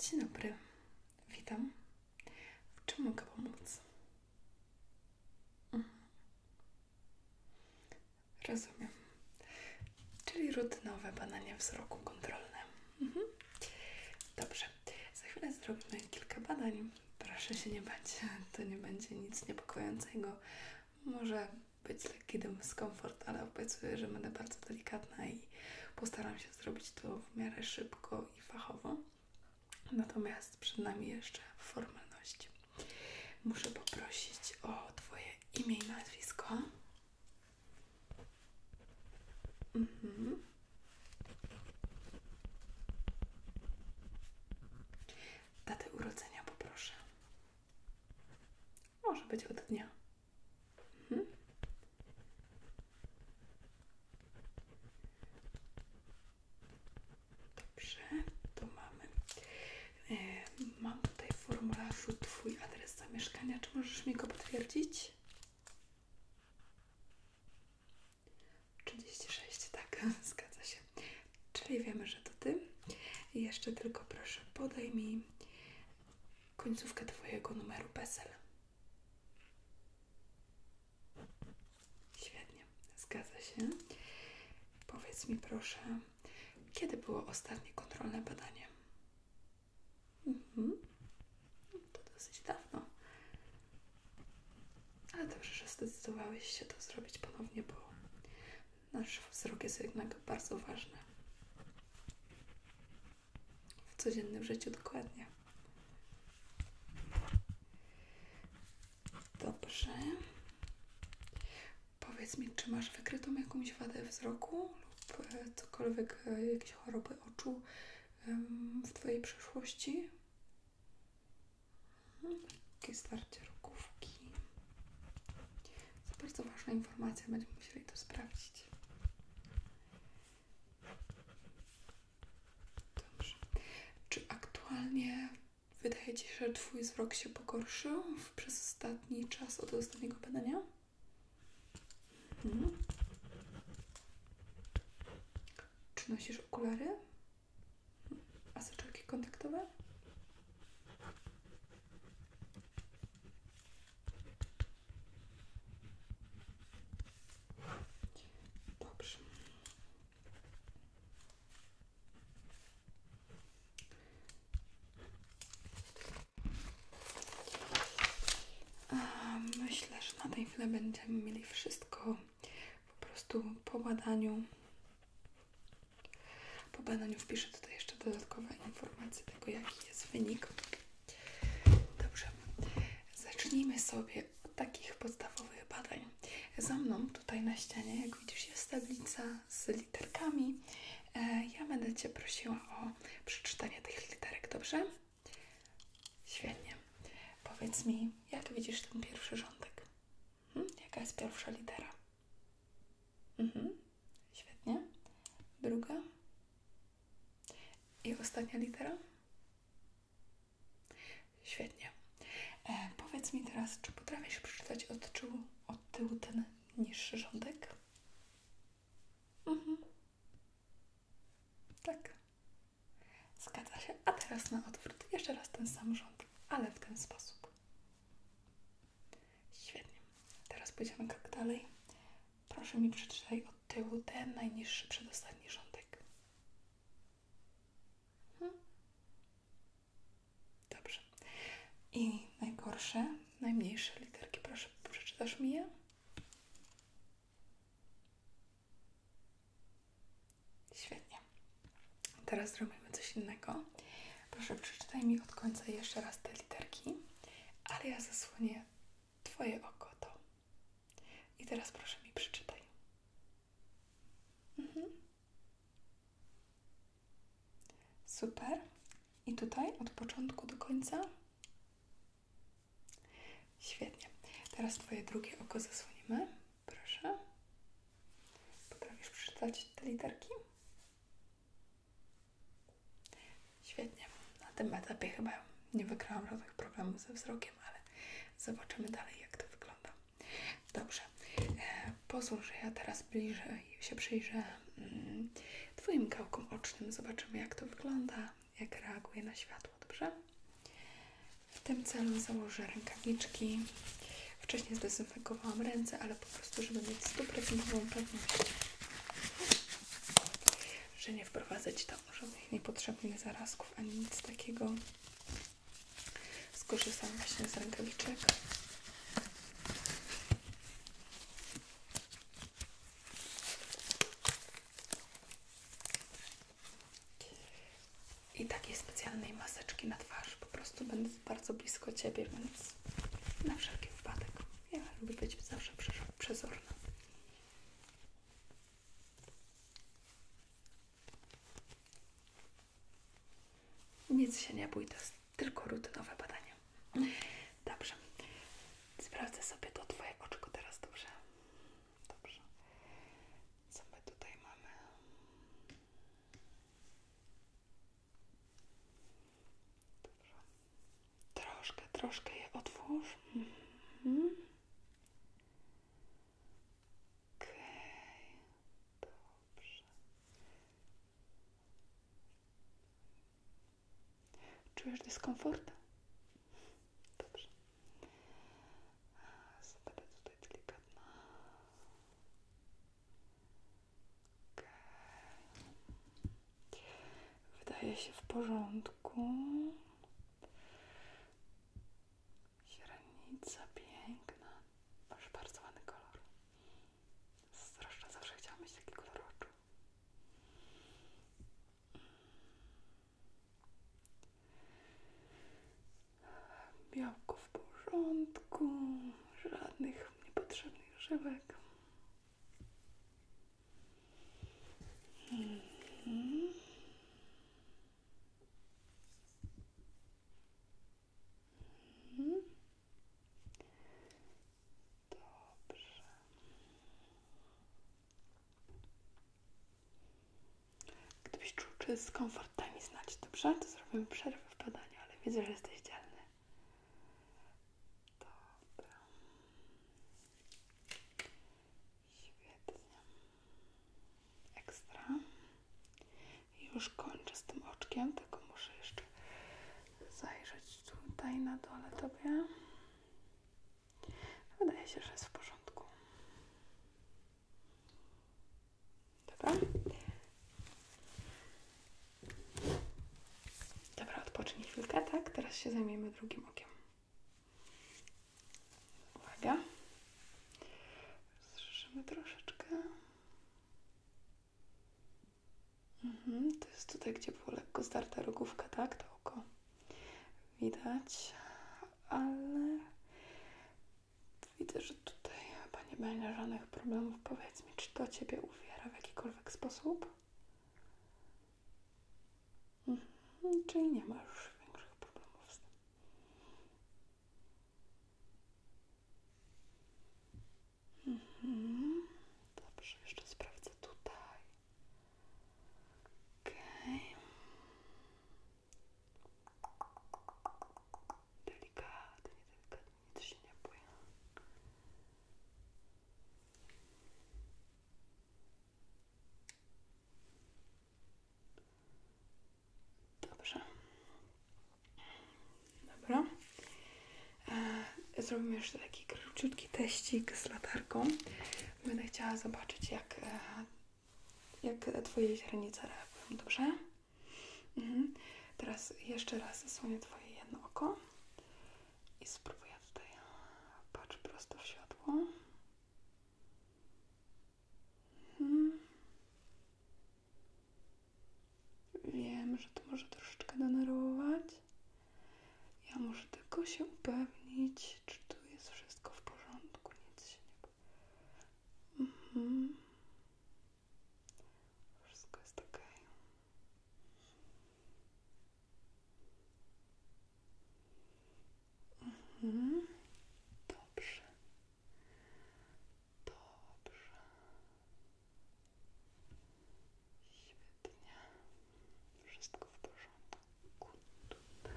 Dzień dobry, witam. W czym mogę pomóc? Mhm. Rozumiem. Czyli rutynowe badanie wzroku kontrolne. Mhm. Dobrze. Za chwilę zrobimy kilka badań. Proszę się nie bać, to nie będzie nic niepokojącego. Może być kiedy lekki dyskomfort, ale obiecuję, że będę bardzo delikatna i postaram się zrobić to w miarę szybko i fachowo. Natomiast przed nami jeszcze formalności. Muszę poprosić o Twoje imię i nazwisko. Mhm. Data urodzenia poproszę. Może być od dnia. Mhm. Dobrze, to mamy. E, mam tutaj w formularzu Twój adres zamieszkania. Czy możesz mi go potwierdzić? 36, tak, zgadza się. Czyli wiemy, że to Ty. jeszcze tylko proszę podaj mi końcówkę Twojego numeru PESEL. Świetnie, zgadza się. Powiedz mi proszę, kiedy było ostatnie kontrolne badanie? Mhm. To dosyć dawno. Ale dobrze, że zdecydowałeś się to zrobić ponownie, bo Nasz wzrok jest jednak bardzo ważny. W codziennym życiu dokładnie. Dobrze. Powiedz mi, czy masz wykrytą jakąś wadę wzroku lub e, cokolwiek, e, jakieś choroby oczu w Twojej przeszłości? Takie mhm. starcie rogówki. To bardzo ważna informacja, będziemy musieli to sprawdzić. Dobrze. Czy aktualnie wydaje Ci się, że Twój wzrok się pogorszył przez ostatni czas od ostatniego badania? Mhm. Czy nosisz okulary? A soczewki kontaktowe? Myślę, że na tej chwili będziemy mieli wszystko po prostu po badaniu po badaniu wpiszę tutaj jeszcze dodatkowe informacje tego, jaki jest wynik. Dobrze, zacznijmy sobie od takich podstawowych badań. Za mną tutaj na ścianie, jak widzisz, jest tablica z literkami. E, ja będę Cię prosiła o przeczytanie tych literek, dobrze? Świetnie. Powiedz mi, jak widzisz ten pierwszy rządek? Hm? Jaka jest pierwsza litera? Mhm, świetnie. Druga. I ostatnia litera? Świetnie. E, powiedz mi teraz, czy potrafisz przeczytać od tyłu, od tyłu ten niższy rządek? Mhm. Tak. Zgadza się. A teraz na odwrót. Jeszcze raz ten sam rząd, ale w ten sposób. Świetnie. Teraz pójdziemy krok dalej. Proszę mi przeczytaj od tyłu ten najniższy przedostatni rządek. Mhm. Dobrze. I najgorsze, najmniejsze literki. Proszę, przeczytasz mi je? Świetnie. Teraz zrobimy coś innego. Proszę, przeczytaj mi od końca jeszcze raz te literki, ale ja zasłonię Twoje oko to. I teraz proszę mi przeczytaj. Mhm. Super. I tutaj od początku do końca. Świetnie. Teraz Twoje drugie oko zasłonimy. Proszę. Potrafisz przeczytać te literki? Świetnie. Na tym etapie chyba nie wygrałam żadnych problemów ze wzrokiem, ale zobaczymy dalej, jak to wygląda. Dobrze. E, Pozwól, ja teraz bliżej się przyjrzę mm, Twoim gałkom ocznym. Zobaczymy, jak to wygląda, jak reaguje na światło, dobrze? W tym celu założę rękawiczki. Wcześniej zdecydowałam, zdezynfekowałam ręce, ale po prostu, żeby mieć stuprocentową pewność, że nie wprowadzać tam żadnych niepotrzebnych zarazków ani nic takiego. Skorzystam właśnie z rękawiczek i takiej specjalnej maseczki na twarz. Po prostu będę bardzo blisko Ciebie, więc na wszelki wypadek. Ja lubię być zawsze przezorna. Nic się nie bój, to jest tylko rutynowe badanie. Dobrze. Sprawdzę sobie to Twoje oczko teraz, dobrze? Dobrze. Co my tutaj mamy? Troszkę, troszkę je otwórz. Mhm. Okej, okay. dobrze. Czujesz dyskomfort? Dobrze. Zobaczę tutaj delikatna. Okay. Wydaje się w porządku. Źrenica piękna. Masz bardzo ładny kolor. Strasznie zawsze chciałam mieć taki kolor oczu. Białko w porządku, żadnych niepotrzebnych żyłek. Mm -hmm. Mm -hmm. Dobrze. Gdybyś czuł czy z komfort, daj mi znać, dobrze? To zrobimy przerwę w badaniu, ale widzę, że jesteś dzielny. Dobra. Świetnie. Ekstra. Już kończę z tym oczkiem, tylko muszę jeszcze zajrzeć tutaj na dole tobie. Wydaje się, że jest w porządku. Dobra? Dobra, odpocznij chwilkę, tak? Teraz się zajmiemy drugim okiem. Uwaga. Zrzeszymy troszeczkę. Mhm, to jest tutaj, gdzie było lekko zdarta rogówka, tak? To oko widać, ale Widzę, że tutaj chyba nie będzie żadnych problemów. Powiedz mi, czy to Ciebie uwiera w jakikolwiek sposób? Mhm, czyli nie ma już większych problemów z mhm, dobrze, jeszcze sprawdzę tutaj. Okej. Okay. Delikatnie, delikatnie, nic się nie bój. Dobrze. Dobra. E, zrobimy jeszcze taki króciutki teścik z latarką. Będę chciała zobaczyć, jak e, jak Twoje źrenice reagują, dobrze? Mhm. Teraz jeszcze raz zasłonię Twoje jedno oko i spróbuję tutaj. Patrz prosto w światło. Mhm. Wiem, że to może troszeczkę denerwować. Ja muszę tylko się upewnić, czy tu jest wszystko w porządku, nic się nie Mhm. Wszystko jest ok. Mhm. Dobrze. Dobrze. Świetnie. Wszystko w porządku. Tutaj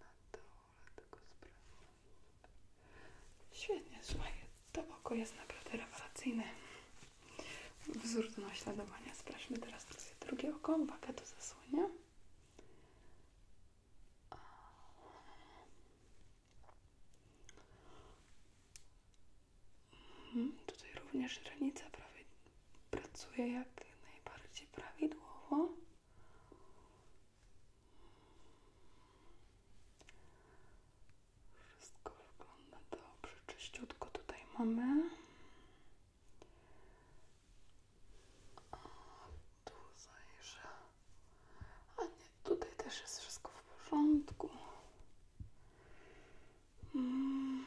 na dole tego sprawy. Świetnie, słuchaj, to oko jest naprawdę rewelacyjne. Wzór do naśladowania. Sprawdźmy teraz przez drugie oko. Uwaga, to zasłania. Mhm, tutaj również granica prawie pracuje jak najbardziej prawidłowo. Wszystko wygląda dobrze, czyściutko tutaj mamy. A tu zajrzę. A nie, tutaj też jest wszystko w porządku. Hmm.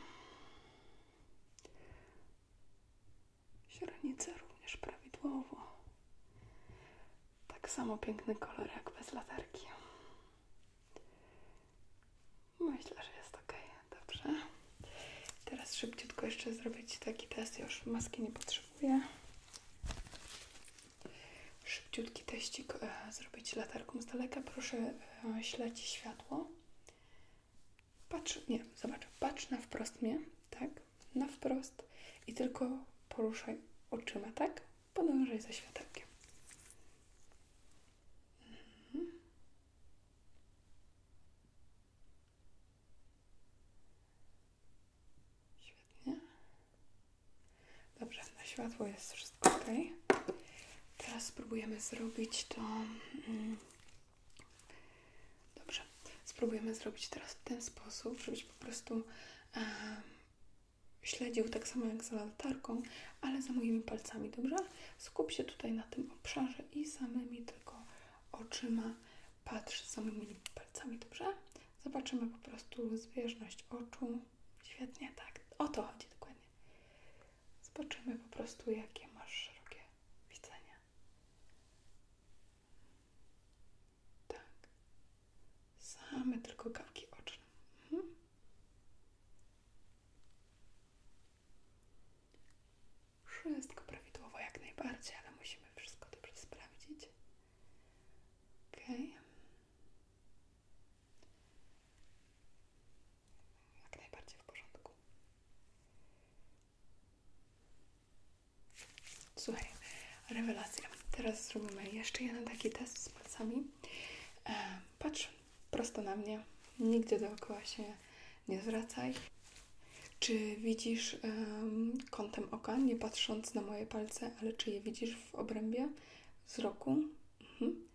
Źrenice również prawidłowo. Tak samo piękny kolor jak bez latarki. Myślę, że jest ok. Dobrze. Teraz szybciutko jeszcze zrobić taki test. już maski nie potrzebuję. Szybciutki teścik e, zrobić latarką z daleka. Proszę e, śledzić światło. Patrz, nie, zobacz, patrz na wprost mnie, tak? Na wprost i tylko poruszaj oczyma, tak? Podążaj za światełkiem. Mhm. Świetnie. Dobrze, na światło jest wszystko ok. Teraz spróbujemy zrobić to. Mm, Dobrze, spróbujemy zrobić teraz w ten sposób, żebyś po prostu e, śledził tak samo jak za latarką, ale za moimi palcami, dobrze? Skup się tutaj na tym obszarze i samymi tylko oczyma patrz za moimi palcami, dobrze? Zobaczymy po prostu zbieżność oczu. Świetnie, tak. O to chodzi dokładnie. Zobaczymy po prostu, jakie masz szerokie widzenie. Tak. Same tylko kawki oczne. Mhm. Wszystko prawidłowo jak najbardziej, ale musimy wszystko dobrze sprawdzić. Okej. Okay. Jak najbardziej w porządku. Słuchaj, rewelacja. Teraz zrobimy jeszcze jeden taki test z palcami. E, patrz prosto na mnie. Nigdy dookoła się nie zwracaj. Czy widzisz kątem oka, nie patrząc na moje palce, ale czy je widzisz w obrębie wzroku? Mhm.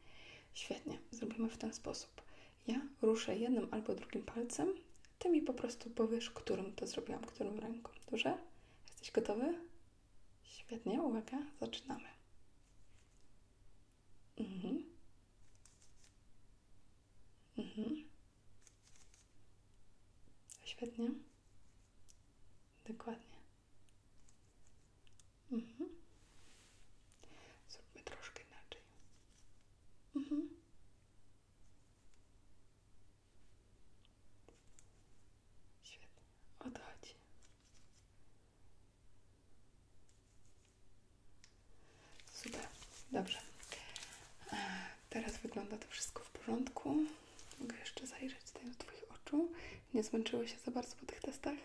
Świetnie, zrobimy w ten sposób. Ja ruszę jednym albo drugim palcem, ty mi po prostu powiesz, którym to zrobiłam, którym ręką. duże Jesteś gotowy? Świetnie, uwaga, zaczynamy. Mhm. Mhm. Świetnie. Dokładnie. Mhm. Zróbmy troszkę inaczej. Mhm. Świetnie. Odchodzi. Super. Dobrze. E, teraz wygląda to wszystko w porządku. Mogę jeszcze zajrzeć tutaj do Twoich oczu. Nie zmęczyły się za bardzo po tych testach?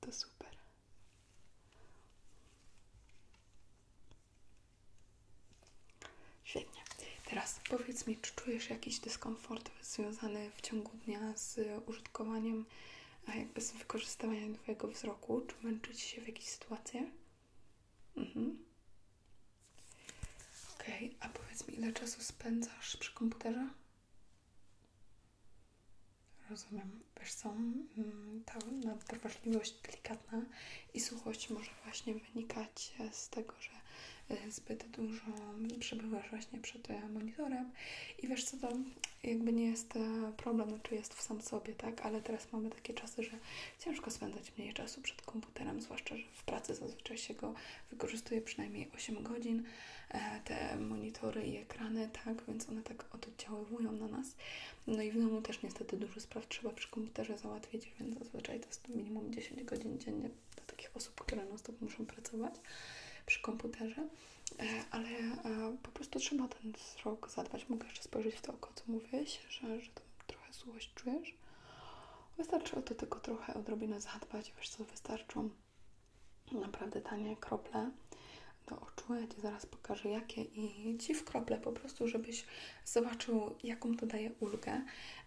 to super. Świetnie. Teraz powiedz mi, czy czujesz jakiś dyskomfort związany w ciągu dnia z użytkowaniem, a jakby z wykorzystywaniem Twojego wzroku? Czy męczy się w jakiejś sytuacji? Mhm. Okej, okay. a powiedz mi, ile czasu spędzasz przy komputerze? Rozumiem. Wiesz co, mm, ta nadwrażliwość delikatna i suchość może właśnie wynikać z tego, że y, zbyt dużo przebywasz właśnie przed y, monitorem i wiesz co, to jakby nie jest y, problem, znaczy jest w sam sobie, tak? Ale teraz mamy takie czasy, że ciężko spędzać mniej czasu przed komputerem, zwłaszcza, że w pracy zazwyczaj się go wykorzystuję przynajmniej 8 godzin e, te monitory i ekrany, tak, więc one tak oddziaływują na nas. No i w domu też niestety dużo spraw trzeba przy komputerze załatwić, więc zazwyczaj to jest minimum 10 godzin dziennie dla takich osób, które na stop muszą pracować przy komputerze, e, ale e, po prostu trzeba ten wzrok zadbać. Mogę jeszcze spojrzeć w to oko, co mówiłeś, że, że trochę złość czujesz. Wystarczy o to tylko trochę odrobinę zadbać, wiesz co, wystarczą Naprawdę tanie krople do oczu. Ja Ci zaraz pokażę jakie i Ci w krople po prostu, żebyś zobaczył jaką to daje ulgę.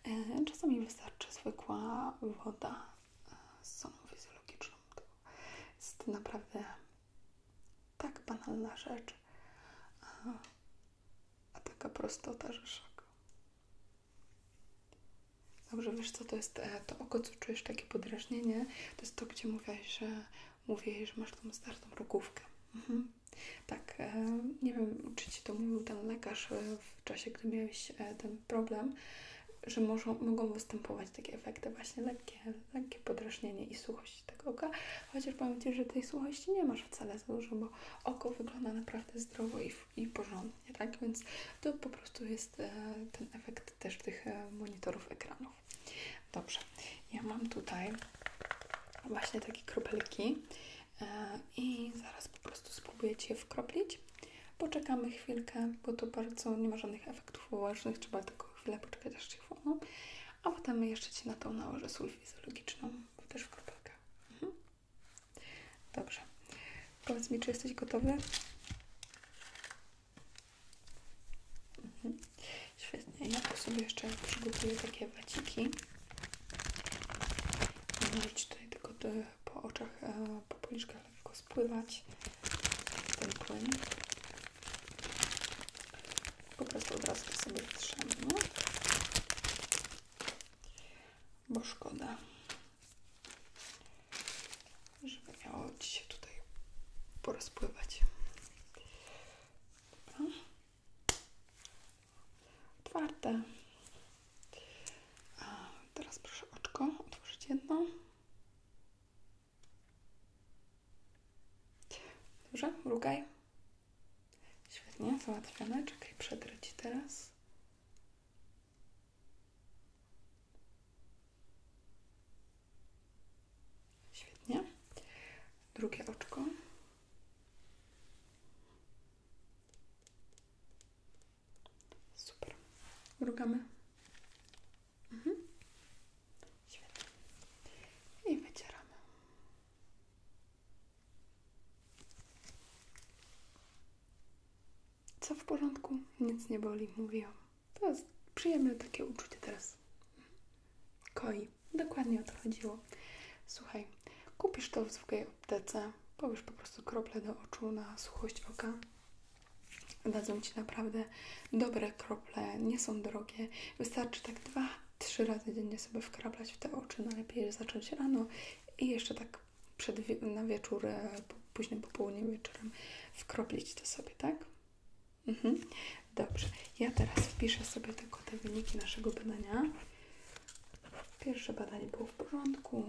E, czasami wystarczy zwykła woda e, z soną fizjologiczną. To jest naprawdę tak banalna rzecz, e, a taka prostota, że Dobrze, wiesz co, to jest e, to oko, co czujesz takie podrażnienie, to jest to, gdzie mówiłaś, że mówię, że masz tą startą rogówkę. Mhm. Tak, e, nie wiem, czy Ci to mówił ten lekarz e, w czasie, gdy miałeś ten problem, że może, mogą występować takie efekty właśnie lekkie, lekkie podrażnienie i suchość tego oka, chociaż powiem Ci, że tej suchości nie masz wcale za dużo, bo oko wygląda naprawdę zdrowo i i porządnie, tak? Więc to po prostu jest e, ten efekt też tych e, monitorów ekranów. Dobrze, ja mam tutaj właśnie takie kropelki e, i zaraz po prostu spróbuję Ci je Poczekamy chwilkę, bo to bardzo nie ma żadnych efektów ułożonych, trzeba tylko chwilę poczekać aż się A potem jeszcze Ci na tą nałożę sól fizjologiczną, też w kropelkach. Mhm. Dobrze. Powiedz mi, czy jesteś gotowy? Mhm. Świetnie. Ja tu sobie jeszcze przygotuję takie waciki. Będę tutaj tylko po oczach, e, po policzkach lekko spływać ten płyn. Po prostu od razu sobie trzemy bo szkoda, żeby miało dzisiaj się tutaj porozpływać. Dobra. Otwarte. teraz proszę oczko otworzyć jedno. Dobrze, mrugaj. Świetnie, załatwione. Czekaj, przetrę teraz. Świetnie. Drugie oczko. Super. Mrugamy. Mhm. Świetnie. I wycieramy. Co w porządku? Nic nie boli, mówiłam. To jest przyjemne takie uczucie teraz. Koi. Dokładnie o to chodziło. Słuchaj, kupisz to w zwykłej aptece, powiesz po prostu krople do oczu na suchość oka. Dadzą Ci naprawdę dobre krople, nie są drogie. Wystarczy tak dwa, trzy razy dziennie sobie wkraplać w te oczy. Najlepiej zacząć rano i jeszcze tak przed, na wieczór, e, późnym popołudniem wieczorem wkroplić to sobie, tak? Mhm. Dobrze. Ja teraz wpiszę sobie tylko te wyniki naszego badania. Pierwsze badanie było w porządku,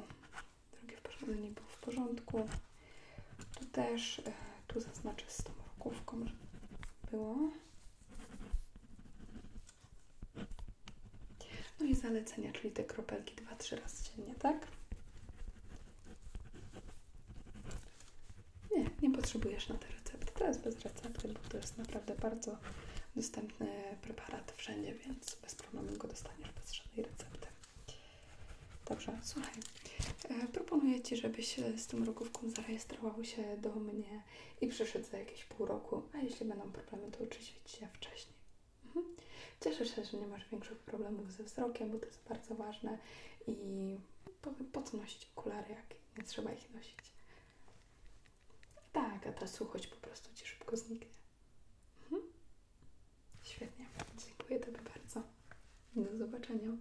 drugie badanie było w porządku. Tu też, e, tu zaznaczę z tą rokówką, że było. No i zalecenia, czyli te kropelki dwa-trzy razy dziennie, tak? Nie, nie potrzebujesz na te recepty. To jest bez recepty, bo to jest naprawdę bardzo dostępny preparat wszędzie, więc bez problemu go dostaniesz bez żadnej recepty. Dobrze, słuchaj. E, proponuję Ci, żebyś z tym rogówką zarejestrował się do mnie i przyszedł za jakieś pół roku, a jeśli będą problemy, to oczywiście się wcześniej. Mhm. Cieszę się, że nie masz większych problemów ze wzrokiem, bo to jest bardzo ważne i po, co nosić okulary, jak nie trzeba ich nosić. Tak, a ta suchość po prostu Ci szybko zniknie. Mhm. Świetnie, dziękuję Tobie bardzo. Do zobaczenia.